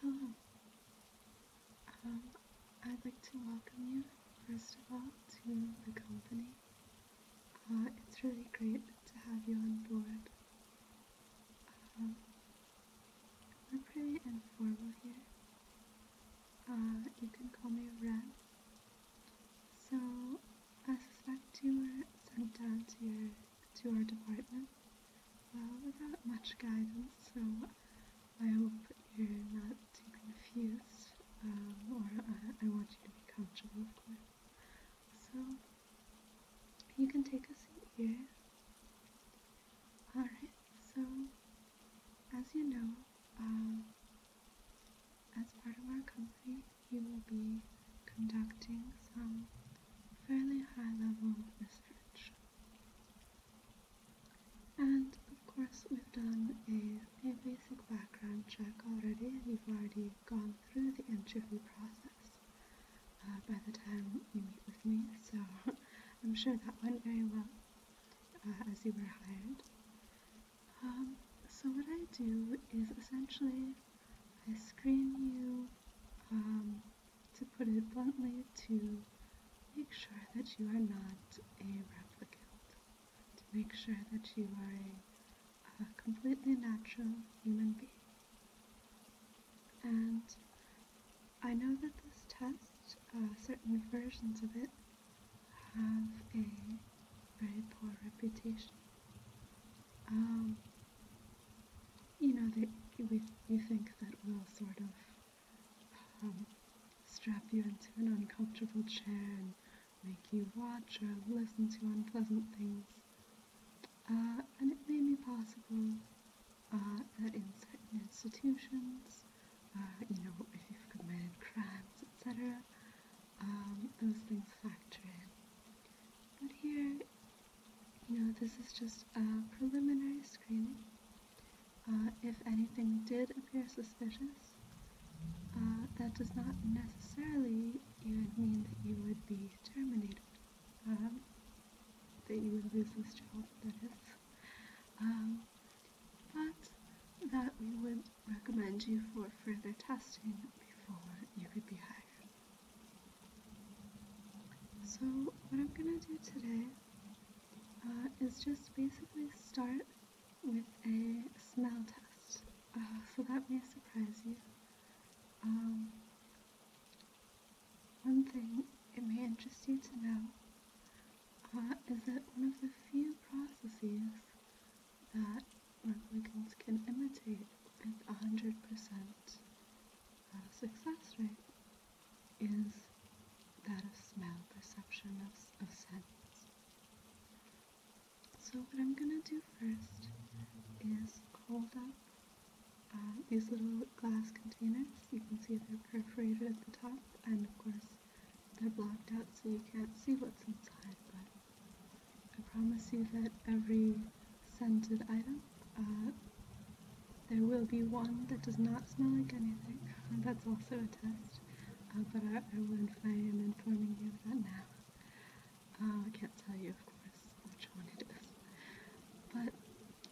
Hello. Um, I'd like to welcome you, first of all, to the company. Uh, it's really great to have you on board. Um, we're pretty informal here. Uh, you can call me Ren. So, I suspect you were sent down here to our department uh, without much guidance, so I hope you're not too confused, um, or I want you to be comfortable, of course. So, you can take a seat here. Alright, so, as you know, um, as part of our company, you will be conducting some fairly high level research. And of course we've done a, a basic background check already. you have already gone through the interview process uh, by the time you meet with me, so I'm sure that went very well uh, as you were hired. Um, so what I do is essentially I screen you, um, to put it bluntly, to make sure that you are not a replicant, to make sure that you are a, completely natural human being. And I know that this test, uh, certain versions of it, have a very poor reputation. Um, you know, you think that will sort of um, strap you into an uncomfortable chair and make you watch or listen to unpleasant things. Uh, and it may be possible uh, that in certain institutions, uh, you know, if you've committed crimes, etc., um, those things factor in. But here, you know, this is just a preliminary screening. Uh, if anything did appear suspicious, uh, that does not necessarily even mean that you would be terminated, um, that you would lose this job, um, but that we would recommend you for further testing before you could be hired. So, what I'm gonna do today uh, is just basically start with a smell test. Uh, so, that may surprise you. Um, one thing it may interest you to know uh, is that one of the few processes that replicants can imitate with uh, 100% success rate is that of smell, perception of, of sense. So what I'm going to do first is hold up uh, these little glass containers. You can see they're perforated at the top and of course they're blocked out so you can't see what's inside, but I promise you that every scented item, uh, there will be one that does not smell like anything. That's also a test, uh, but I, will would if I you of that now. Uh, I can't tell you, of course, which one it is. But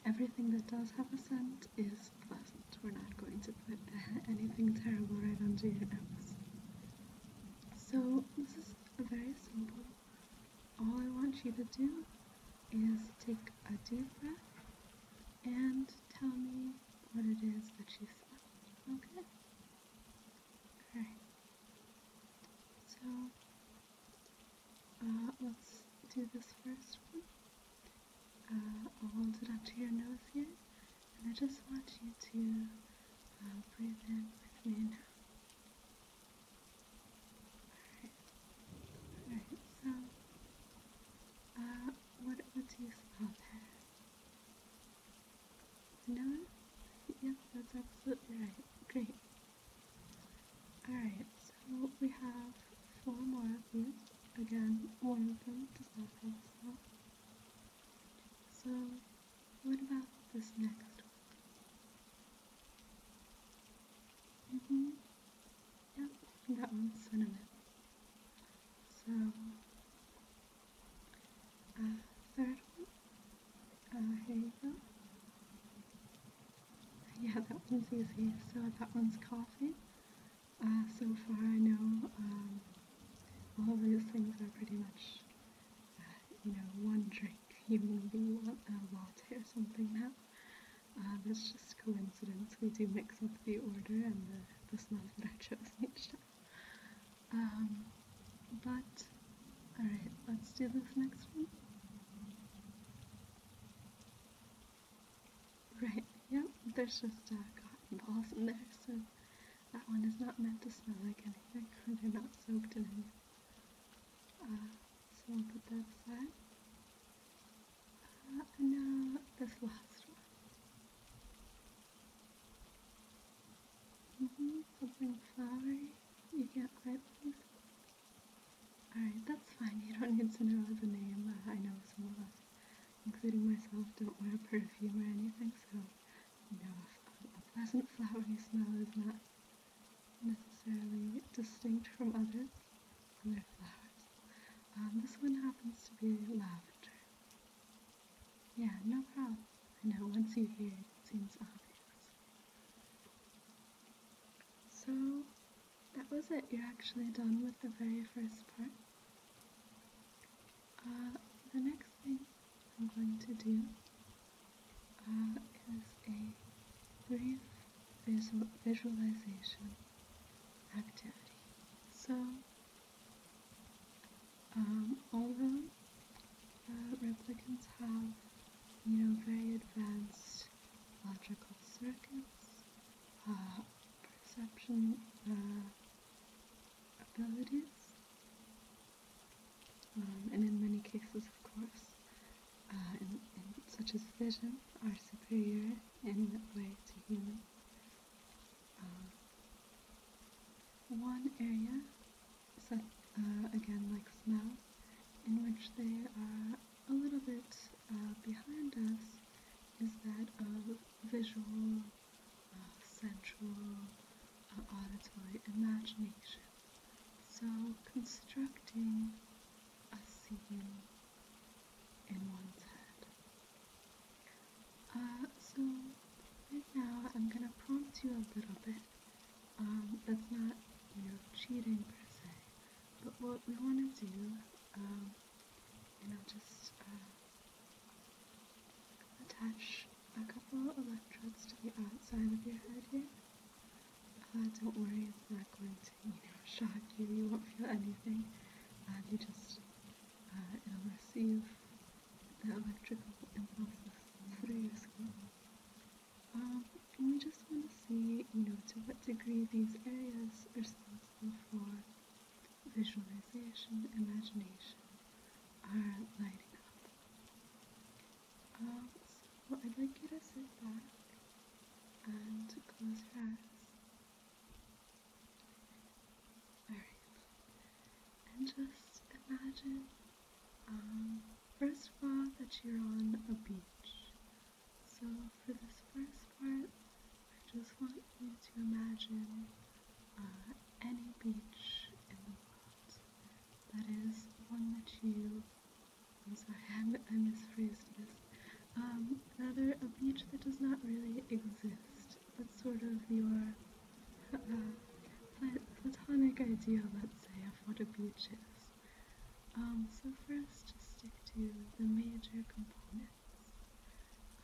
everything that does have a scent is pleasant. We're not going to put anything terrible right onto your nose. So, this is a very simple all I want you to do is take a deep breath and tell me what it is that you feel. Okay? Alright. So, uh, let's do this first one. Uh, I'll hold it up to your nose here, and I just want you to uh, breathe in with me now. Alright, All right. so, uh, what, what do you spell there? No? Yep, that's absolutely right. Great. Alright, so we have four more of these. Again, one of them does not have So, what about this next one? Mm-hmm. Yep, that one's cinnamon. So, uh, third one. Uh, here you go. Yeah, that one's easy. So that one's coffee. Uh, so far I know um, all of these things are pretty much you know, one drink, you maybe want a latte or something now. Uh, um, that's just coincidence. We do mix up the order and the, the smells that I chose each time. Um, but, alright, let's do this next one. Right, yep, there's just uh, cotton balls in there, so that one is not meant to smell like anything. They're not soaked in anything. Uh, so we'll put that aside. Uh, and now uh, this last one. Mm-hmm, something flowery. You can't quite believe Alright, that's fine. You don't need to know the name. I know some of us, including myself, don't wear perfume or anything, so Oh you a pleasant flowery smell is not necessarily distinct from others and their flowers. Um, this one happens to be lavender. Yeah, no problem. I know once you hear it, it seems obvious. So that was it. You're actually done with the very first part. Uh, the next thing I'm going to do uh, is a brief visualization activity. So, um, although uh, replicants have, you know, very advanced logical circuits, uh, perception abilities, um, and in many cases, of course, uh, such as vision, are superior in that way to humans. Um, one area, uh, again like smell, in which they are a little bit uh, behind us is that of visual uh, sensual, auditory imagination. So, constructing a scene in one's head. Uh, so, right now I'm going to prompt you a little bit. Um, that's not, you know, cheating per se, but what we want to do, um, you know, just. Uh, attach a couple electrodes to the outside of your head here. Uh, don't worry, it's not going to, you know, shock you. You won't feel anything. Uh, you just, will uh, receive the electrical impulses through your skin. Um, and we just want to see, you know, to what degree these areas are responsible for visualization, imagination, are lighting up. Um, so I'd like you to sit back and to close your eyes. Alright. And just imagine, um, first of all, that you're on a beach. So for this first part, I just want you to imagine uh, any beach in the world. That is one that you. I'm sorry, I, misphrased this. Um, rather, a beach that does not really exist. That's sort of your uh, plat platonic idea, let's say, of what a beach is. Um, so, first, just stick to the major components.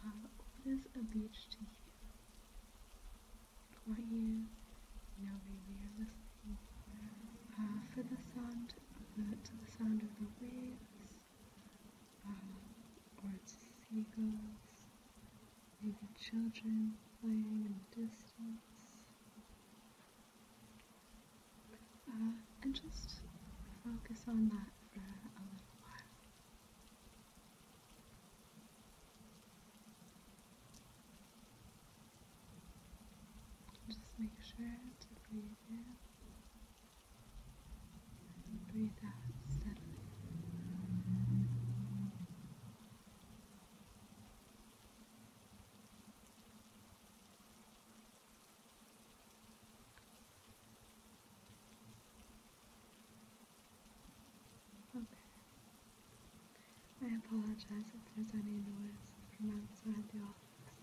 Uh, what is a beach to you? for you. know, maybe you're listening uh, for the sound of the, to the sound of the waves, uh, or to seagulls, maybe children playing in the distance, uh, and just focus on that for a little while. Just make sure to breathe in and breathe out steadily. Okay. I apologize if there's any noise from outside the office.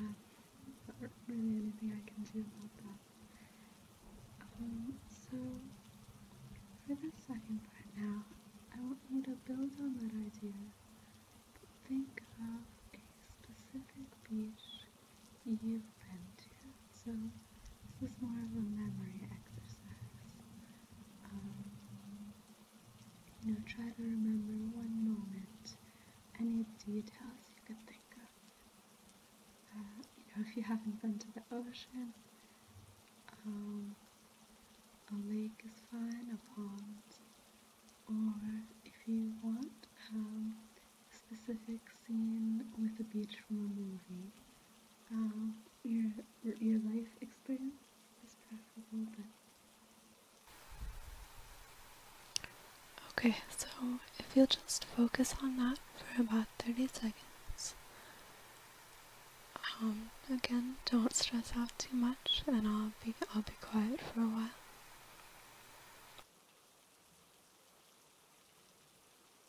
Um, not really anything I can do about that. Um, so, for the second part now, I want you to build on that idea, but think of a specific beach you've been to. So this is more of a memory exercise. Um, you know, try to remember one moment, any details you could think of. Uh, you know, if you haven't been to the ocean, um, a lake is fine, a pond, or if you want, um, specific scene with a beach from a movie. Um, your your life experience is preferable, but. Okay, so if you'll just focus on that for about 30 seconds. Um, again, don't stress out too much, and I'll be I'll be quiet for a while.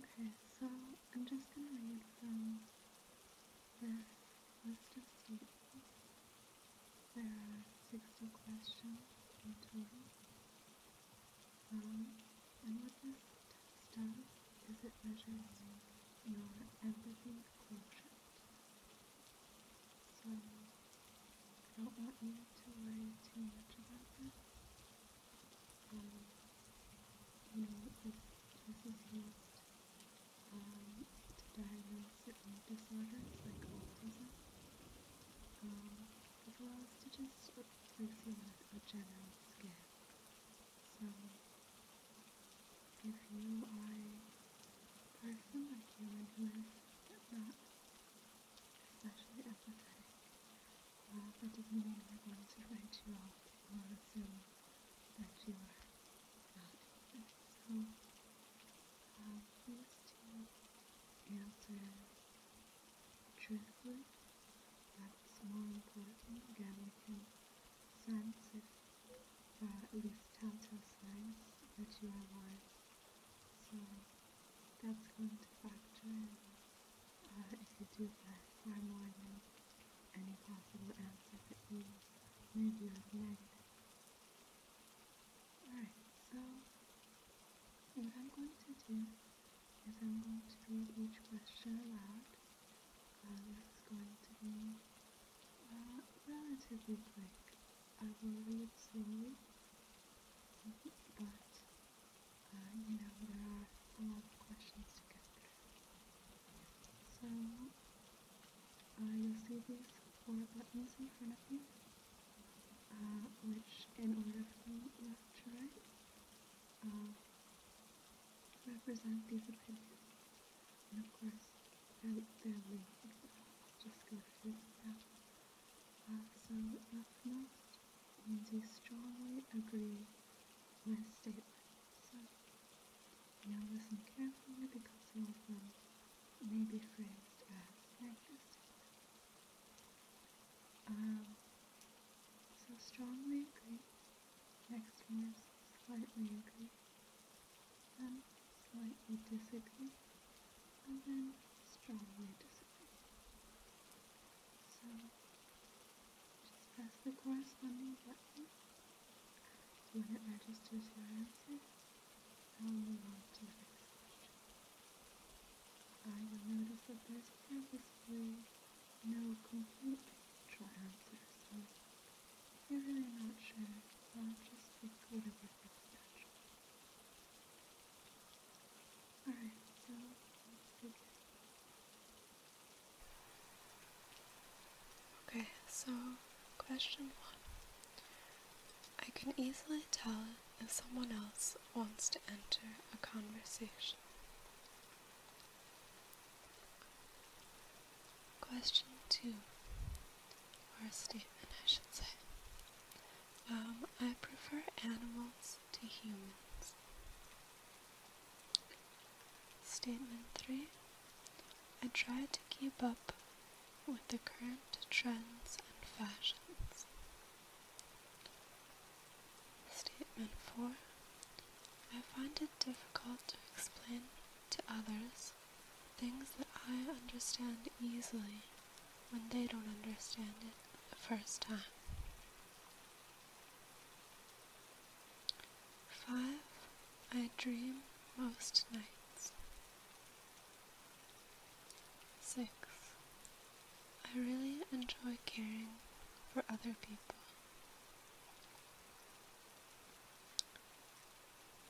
Okay, so I'm just going to read from this list of people. There are 60 questions in total. Um, and what this test does is it measures your empathy quotient. So I don't want you to worry too much about that. you know, this is used um, to diagnose certain disorders like to just replace you with general scare. So if you are I feel like you would live at that, especially apathetic. Well, that doesn't mean I want to write you off or assume that you are not. So, uh, please do answer truthfully. That's more important. Again, we can sense if uh, at least telltale signs that you are lying. So that's going to factor in uh, if you do get far more than any possible answer that you maybe was negative. Alright, so what I'm going to do is I'm going to read each question aloud. Uh, this is going to be uh, relatively quick. I will read soon, but uh, you know there are a lot of questions to get through. So uh, you'll see these four buttons in front of you, which uh, in order from left to right represent these opinions, and of course and they're amazing. Just go through that. Uh, so up strongly agree with my statement. So now listen carefully because some of them may be phrased as sarcastic. Um, so strongly agree. Next one is slightly agree and slightly disagree and then strongly disagree. So just press the corresponding button so when it registers your answer I'll move on to the next question. I will notice that there's purposefully no complete trial answer, so if you're really not sure, I'll just pick whatever all right, so Okay, so question one. I can easily tell if someone else wants to enter a conversation. Question two, or a statement, I should say. Um, I prefer animals to humans. Statement three, I try to keep up with the current trends and fashions. Statement four, I find it difficult to explain to others things that I understand easily when they don't understand it the first time. Five, I dream most nights. Six, I really enjoy caring for other people.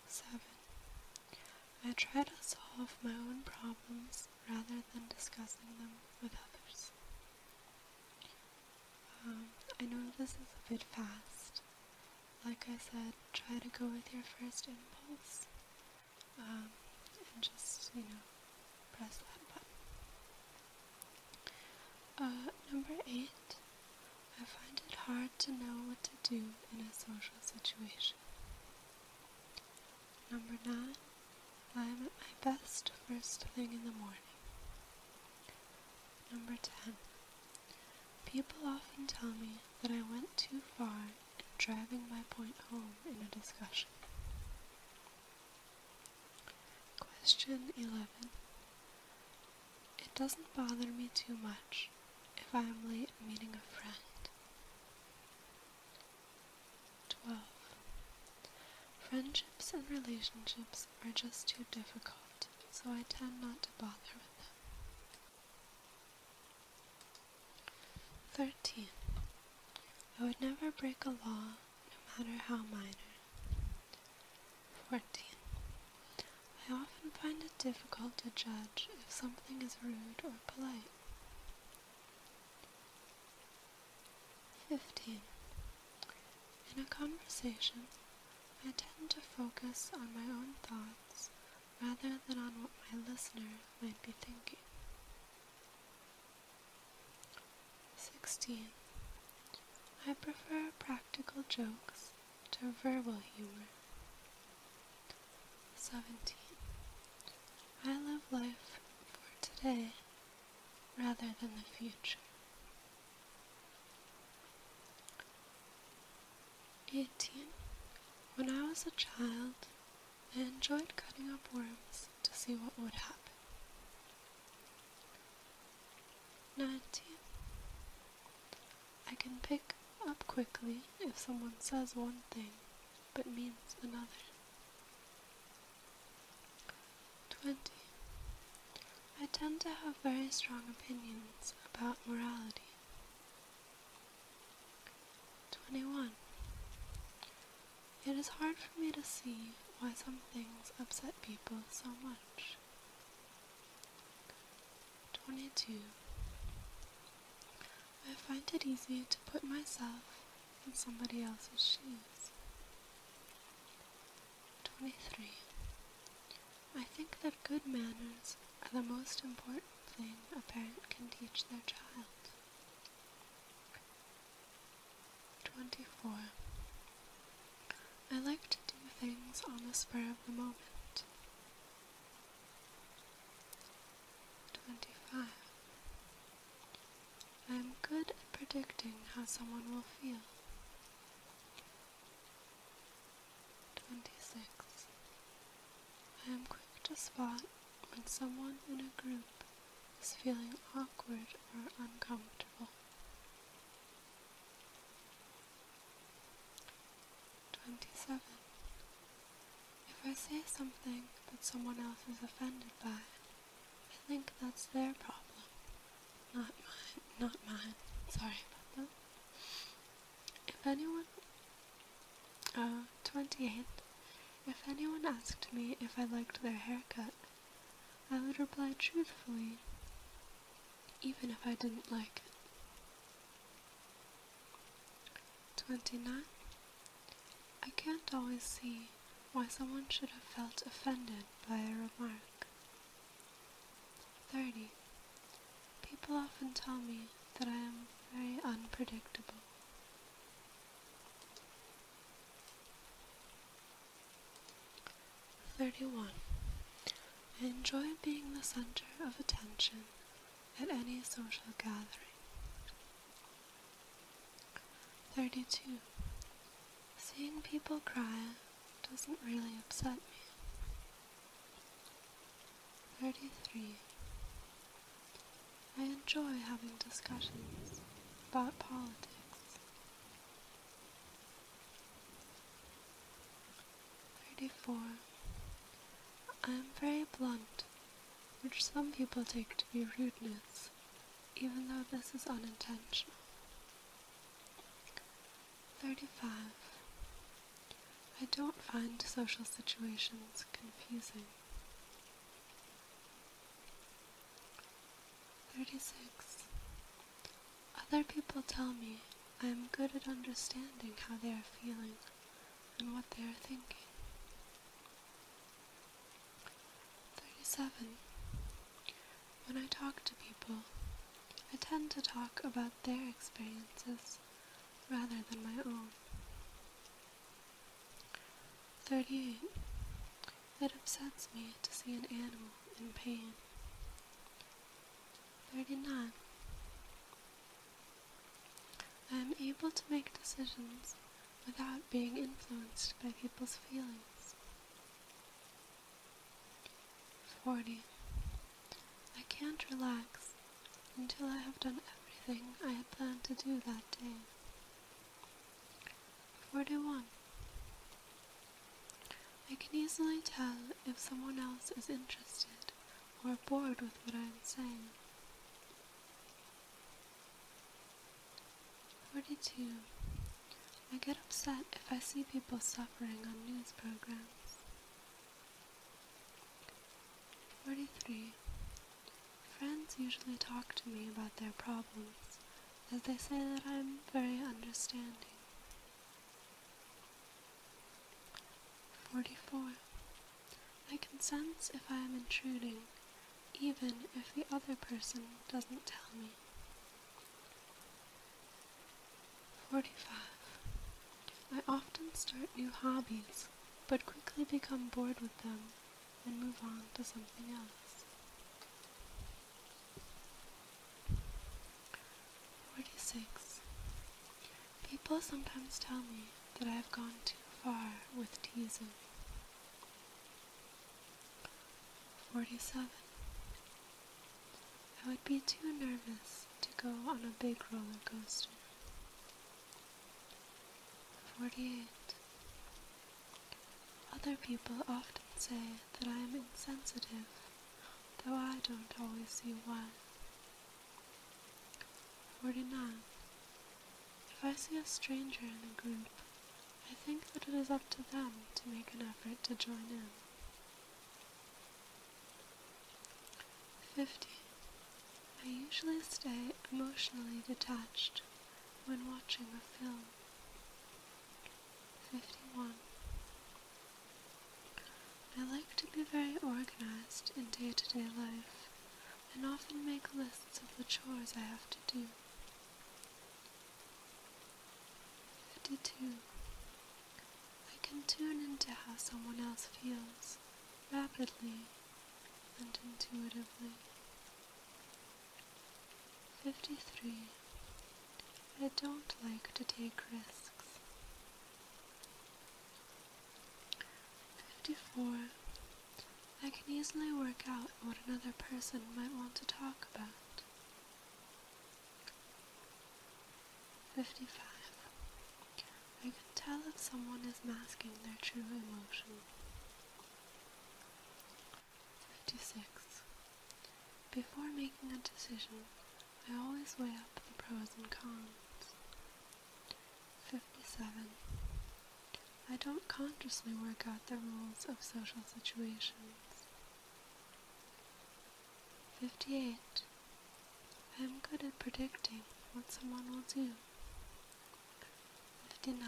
7. I try to solve my own problems rather than discussing them with others. Um, I know this is a bit fast. Like I said, try to go with your first impulse um, and just, you know, press that button. Uh, number 8. I find it hard to know what to do in a social situation. Number nine, I am at my best first thing in the morning. Number ten, people often tell me that I went too far in driving my point home in a discussion. Question 11. It doesn't bother me too much if I am late meeting a friend. 12. Friendships and relationships are just too difficult, so I tend not to bother with them. 13. I would never break a law, no matter how minor. 14. I often find it difficult to judge if something is rude or polite. 15. In a conversation, I tend to focus on my own thoughts rather than on what my listener might be thinking. 16. I prefer practical jokes to verbal humor. 17. I love life for today rather than the future. 18. When I was a child, I enjoyed cutting up worms to see what would happen. 19. I can pick up quickly if someone says one thing but means another. 20. I tend to have very strong opinions about morality. 21. It is hard for me to see why some things upset people so much. 22. I find it easier to put myself in somebody else's shoes. 23. I think that good manners are the most important thing a parent can teach their child. 24. I like to do things on the spur of the moment. 25. I am good at predicting how someone will feel. 26. I am quick to spot when someone in a group is feeling awkward or uncomfortable. 27. If I say something that someone else is offended by, I think that's their problem, not mine. Not mine. Sorry about that. If anyone, uh, If anyone asked me if I liked their haircut, I would reply truthfully, even if I didn't like it. 29. I can't always see why someone should have felt offended by a remark. 30. People often tell me that I am very unpredictable. 31. Enjoy being the center of attention at any social gathering. 32. Seeing people cry doesn't really upset me. 33. I enjoy having discussions about politics. 34. I am very blunt, which some people take to be rudeness, even though this is unintentional. 35. I don't find social situations confusing. 36. Other people tell me I am good at understanding how they are feeling and what they are thinking. 37. When I talk to people, I tend to talk about their experiences rather than my own. 38. It upsets me to see an animal in pain. 39. I am able to make decisions without being influenced by people's feelings. 40. I can't relax until I have done everything I had planned to do that day. 41. I can easily tell if someone else is interested or bored with what I am saying. 42. I get upset if I see people suffering on news programs. 43. Friends usually talk to me about their problems as they say that I'm very understanding. 44. I can sense if I am intruding, even if the other person doesn't tell me. 45. I often start new hobbies, but quickly become bored with them and move on to something else. 46. People sometimes tell me that I have gone too far with teasing. 47. I would be too nervous to go on a big roller coaster. 48. Other people often say that I am insensitive, though I don't always see why. 49. If I see a stranger in the group, I think that it is up to them to make an effort to join in. 50. I usually stay emotionally detached when watching a film. 51. I like to be very organized in day to day life and often make lists of the chores I have to do. 52. I can tune into how someone else feels rapidly and intuitively. 53. I don't like to take risks. 54. I can easily work out what another person might want to talk about. 55. I can tell if someone is masking their true emotion. 56. Before making a decision, I always weigh up the pros and cons. 57. I don't consciously work out the rules of social situations. 58. I am good at predicting what someone will do. 59.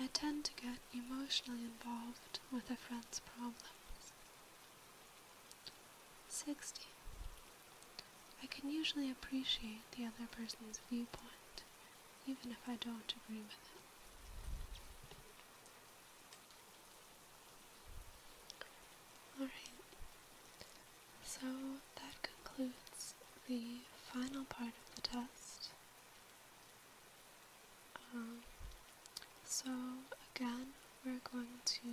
I tend to get emotionally involved with a friend's problems. 60. I can usually appreciate the other person's viewpoint, even if I don't agree with it. Alright, so that concludes the final part of the test. Um, so again, we're going to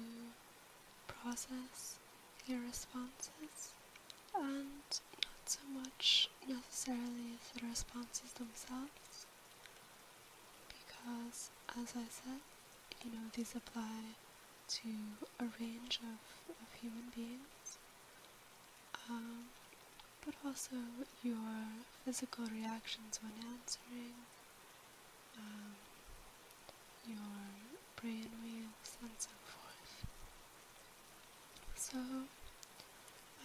process your responses and not so much necessarily the responses themselves because as I said, you know, these apply to a range of, of human beings. Um, but also your physical reactions when answering, um, your brain brainwaves, and so forth. So,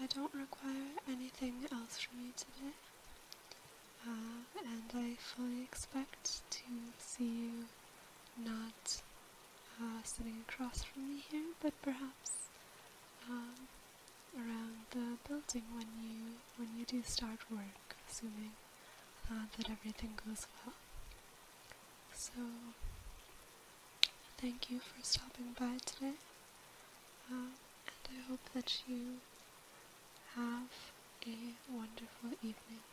I don't require anything else from you today, uh, and I fully expect to see you not uh, sitting across from me here, but perhaps um, around the building when you when you do start work, assuming uh, that everything goes well. So thank you for stopping by today, um, and I hope that you have a wonderful evening.